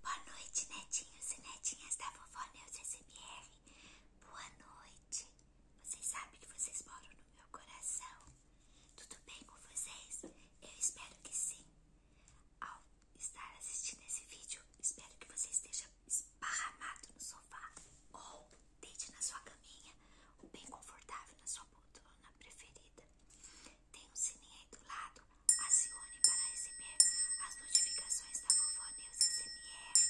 Boa noite, netinhos e netinhas da Vovó Neus SMR. Boa noite. Vocês sabem que vocês moram no meu coração. Tudo bem com vocês? Eu espero que sim. Ao estar assistindo esse vídeo, espero que você esteja esparramado no sofá ou deite na sua caminha ou bem confortável na sua poltrona preferida. Tem um sininho aí do lado. Acione para receber as notificações da Vovó News SMR.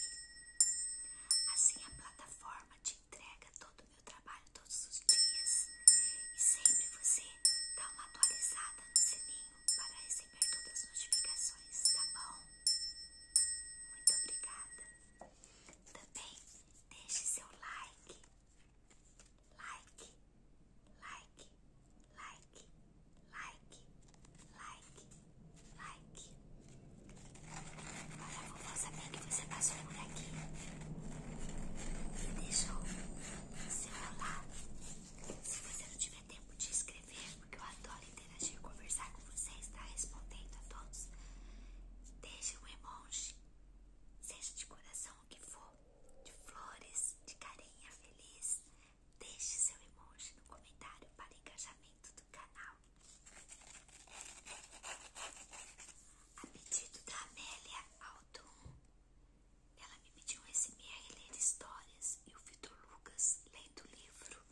Assim a plataforma te entrega todo o meu trabalho todos os dias. E sempre você dá uma atualizada no sininho para receber todas as notificações, tá bom? Muito obrigada. Também deixe seu like like, like, like, like, like, like. Olha vou fazer bem que você passou por aqui e deixou você falar Se você não tiver tempo de escrever, porque eu adoro interagir, conversar com você, está respondendo a todos, deixe o emoji, seja de coração o que for de flores, de carinha feliz. Deixe seu emoji no comentário para engajamento do canal. A pedido da Amélia Alton, ela me pediu esse mês ler histórias e o Vitor Lucas lendo o livro.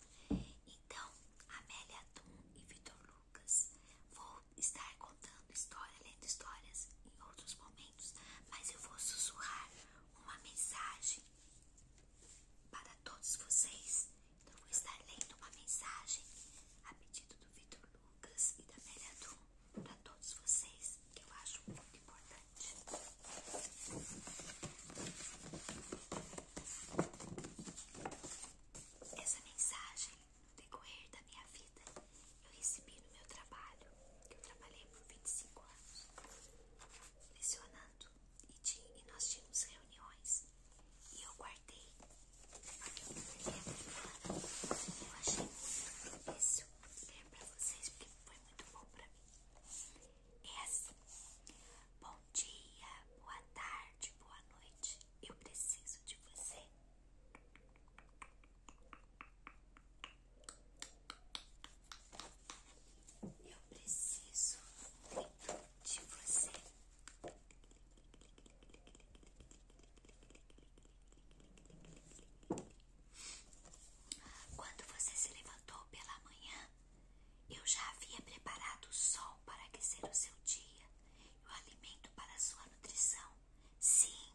Então, Amélia Alton e Vitor Lucas, vou estar contando histórias, lendo histórias em outros momentos, mas eu vou sussurrar uma mensagem para todos vocês. Então, eu vou estar lendo uma mensagem a pedido do Vitor Lucas e da Melia Dum para todos vocês, que eu acho muito importante. Essa mensagem no decorrer da minha vida, eu recebi no meu trabalho, que eu trabalhei por 25 anos, lecionando, e, tinha, e nós tínhamos reuniões, e eu guardei, porque eu perdi a minha eu achei muito difícil ler pra vocês, porque foi muito bom para mim. É assim, bom dia, boa tarde, boa noite, eu preciso de você. Eu preciso de você. Quando você se levantou pela manhã, eu já havia preparado o sol para aquecer o seu dia o alimento para sua nutrição. Sim,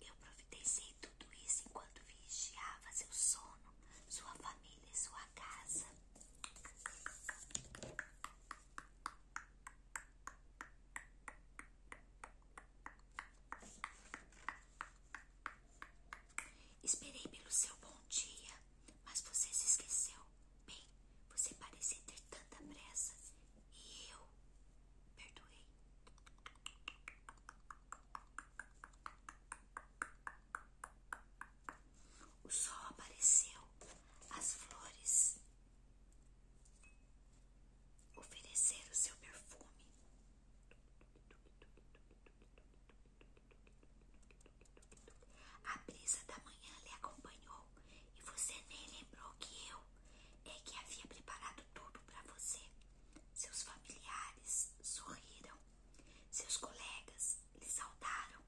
eu providenciei tudo isso enquanto vigiava seu sono, sua família e sua casa. Esperei pelo seu bom dia, mas você se esqueceu. Bem, você parecia ter tanta pressa e eu perdoei. O sol apareceu, as flores ofereceram seu perfume. A brisa da manhã lhe acompanhou e você nem lembrou que eu é que havia preparado tudo para você. Seus familiares sorriram, seus colegas lhe saudaram.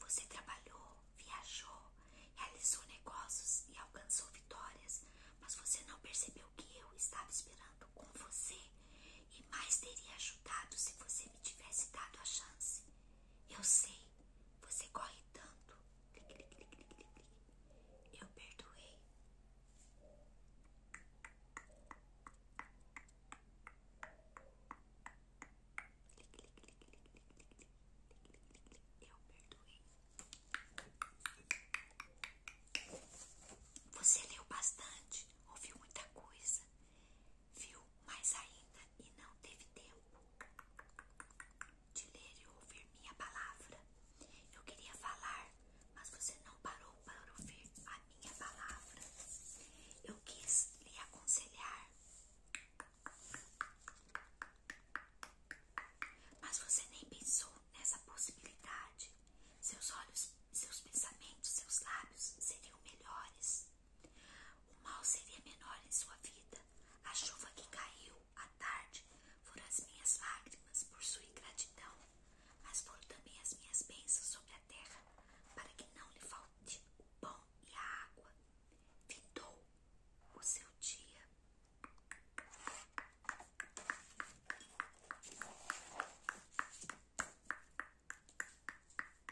Você trabalhou, viajou, realizou negócios e alcançou vitórias, mas você não percebeu que eu estava esperando com você e mais teria ajudado se você me tivesse dado a chance. Eu sei, você corre tanto. Eu perdoei. Eu perdoei. Você leu bastante, ouviu muita coisa viu mais ainda e não teve tempo de ler e ouvir minha palavra. Eu queria falar, mas você não parou para ouvir a minha palavra. Eu quis lhe aconselhar, mas você nem pensou nessa possibilidade. Seus olhos, seus pensamentos, seus lábios seriam melhores o mal seria menor em sua vida. A chuva que caiu à tarde foram as minhas lágrimas por sua ingratidão, mas foram também as minhas bênçãos sobre a terra, para que não lhe falte o pão e a água. Findou o seu dia.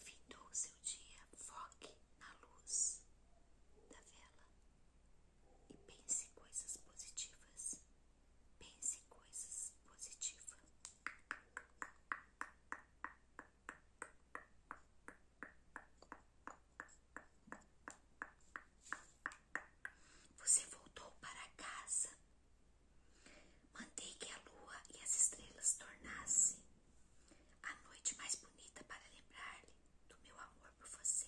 Findou seu dia, foque na luz da vela e pense coisas positivas. Pense coisas positivas. Você voltou para casa. Mandei que a lua e as estrelas tornassem a noite mais bonita para lembrar-lhe do meu amor por você.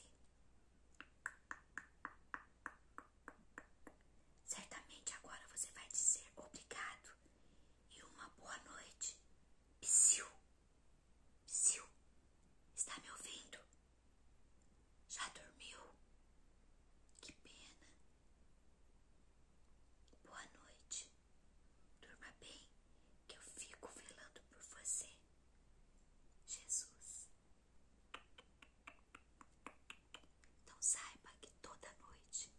Certamente agora você vai dizer obrigado e uma boa noite. Psiu, psiu, está me ouvindo? Já dormiu? Que pena. Boa noite. Durma bem, que eu fico velando por você. Jesus. Então saiba que toda noite,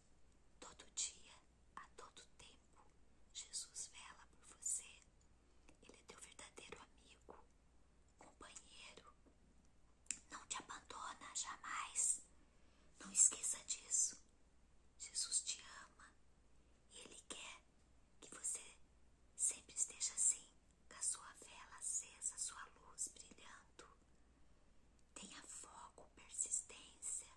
todo dia, a todo tempo, Jesus vela por você. Ele é teu verdadeiro amigo, companheiro. Não te abandona jamais. Não esqueça disso. Jesus te ama. E ele quer que você sempre esteja assim, com a sua vela acesa, sua luz brilhando. Tenha foco, persistência.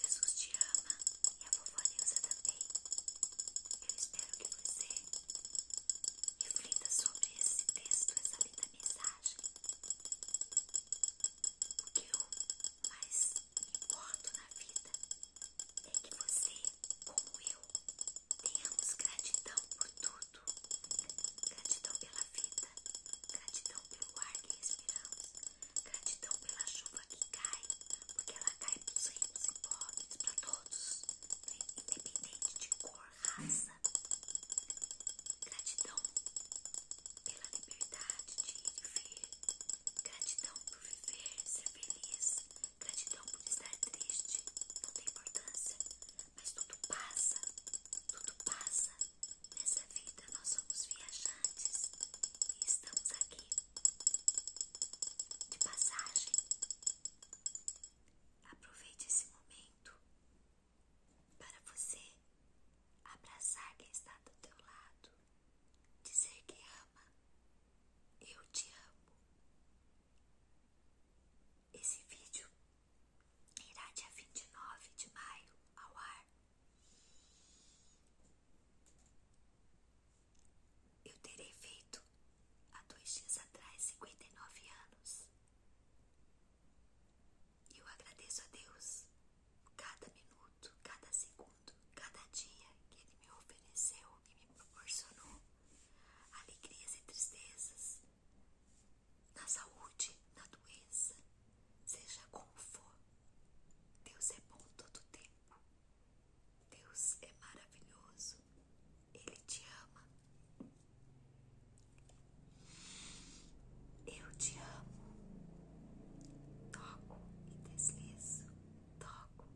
Jesus te ama e a vovó Nilza também. Eu espero que você reflita sobre esse texto, essa linda mensagem. O que eu mais importo na vida é que você, como eu, tenhamos gratidão por tudo. Gratidão pela vida, gratidão pelo ar que respiramos, gratidão pela chuva que cai, porque ela cai para os ricos e pobres, para todos, né? independente de cor, raça. Gratidão pela liberdade de ir e vir. Gratidão por viver, ser feliz. Gratidão por estar triste. Não tem importância, mas tudo passa. Tudo passa. Nessa vida nós somos viajantes e estamos aqui de passagem. Aproveite esse momento para você abraçar quem está do teu lado, dizer que ama, eu te amo. Esse vídeo irá dia 29 de maio ao ar. Eu terei feito há dois dias atrás, 59 anos. E eu agradeço a Deus cada minuto, cada segundo, cada dia que Ele me ofereceu, que me proporcionou alegrias e tristezas, na saúde, na doença, seja como for. Deus é bom todo o tempo. Deus é maravilhoso, Ele te ama. Eu te amo. Toco e deslizo, toco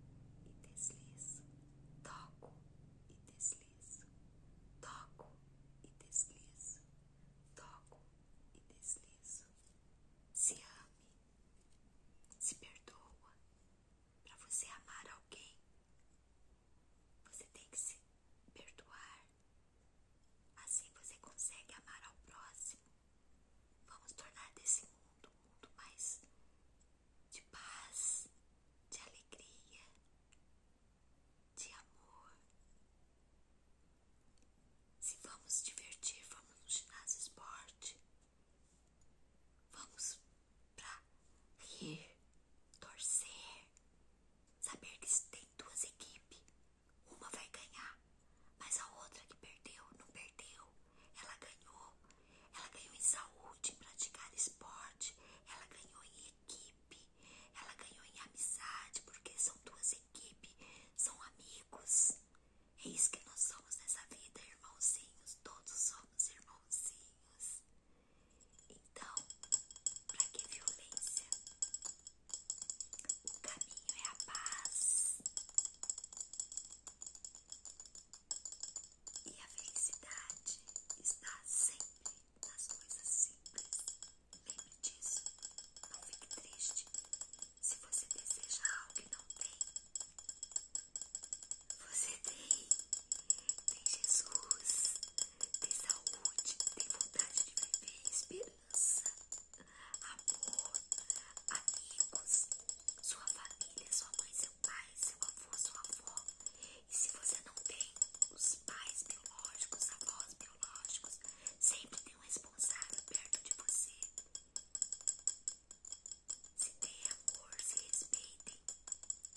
e deslizo, toco e deslizo, toco e deslizo, toco e deslizo. Se ame, se perdoa, para você amar alguém, você tem que se perdoar. Assim você consegue amar ao próximo. Vamos tornar desse mundo um mundo mais de paz, de alegria, de amor. Se vamos divertir, vamos no ginásio esporte. Vamos pra rir, torcer, saber que tem duas equipes. Uma vai ganhar, mas a outra que perdeu não perdeu. Ela ganhou. Ela ganhou em saúde, em praticar esporte. Ela ganhou em equipe. Ela ganhou em amizade, porque são duas equipes, são amigos. É isso que nós somos nessa vida, irmãozinhos. Todos somos irmãozinhos. Então, para que violência? O caminho é a paz e a felicidade está sempre nas coisas simples. Lembre disso, não fique triste. Se você deseja algo e não tem, você tem, tem Jesus, tem saúde, tem vontade de viver, esperança, amor, amigos, sua família, sua mãe, seu pai, seu avô, sua avó. E se você não tem os pais biológicos, avós biológicos, sempre tem um responsável perto de você. Se tem amor, se respeitem.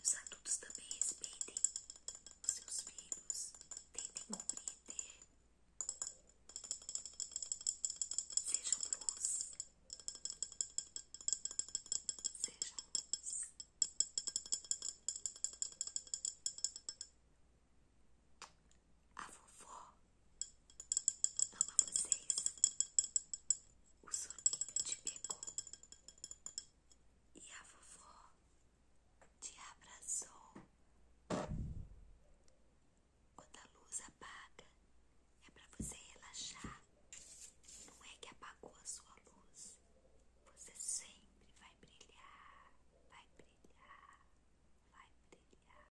Os adultos também respeitem os seus filhos. Tentem compreender. Sejam luz. Sejam luz. A vovó Amo vocês. O soninho te pegou e a vovó te abraçou. Quando a luz apaga, é para você relaxar. Não é que apagou a sua luz. Você sempre vai brilhar, vai brilhar, vai brilhar.